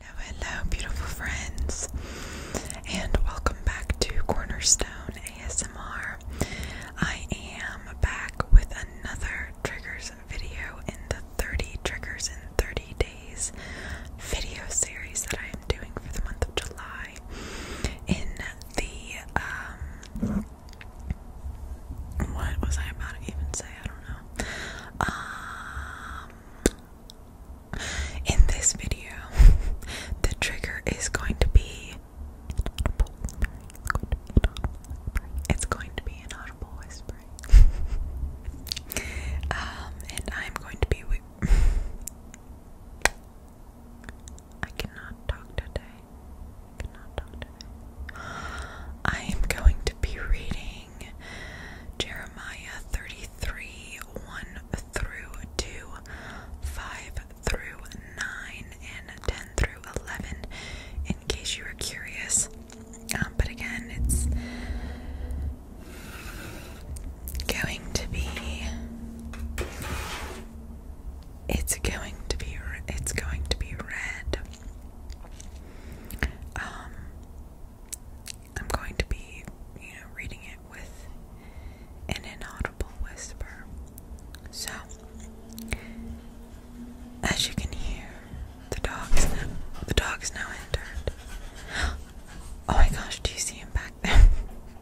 Hello, hello, beautiful friends, and welcome back to Cornerstone ASMR. I am back with another triggers video in the 30 triggers in 30 days video series that I am doing for the month of July. In the um, what was I about to even say? I don't know. Um, in this video, the trigger is going to be. It's going to be an audible whispering. um, and I'm going to be. I cannot talk today. I am going to be reading Jeremiah 33 1 through 2, 5 through 9, and 10 through 11, in case you were curious. Um, but again, it's going to be it's going to be it's going to be red. Um, I'm going to be, you know, reading it with an inaudible whisper. So, as you can hear, the dog's now, the dog's now entered. Oh my gosh, do you see him back there?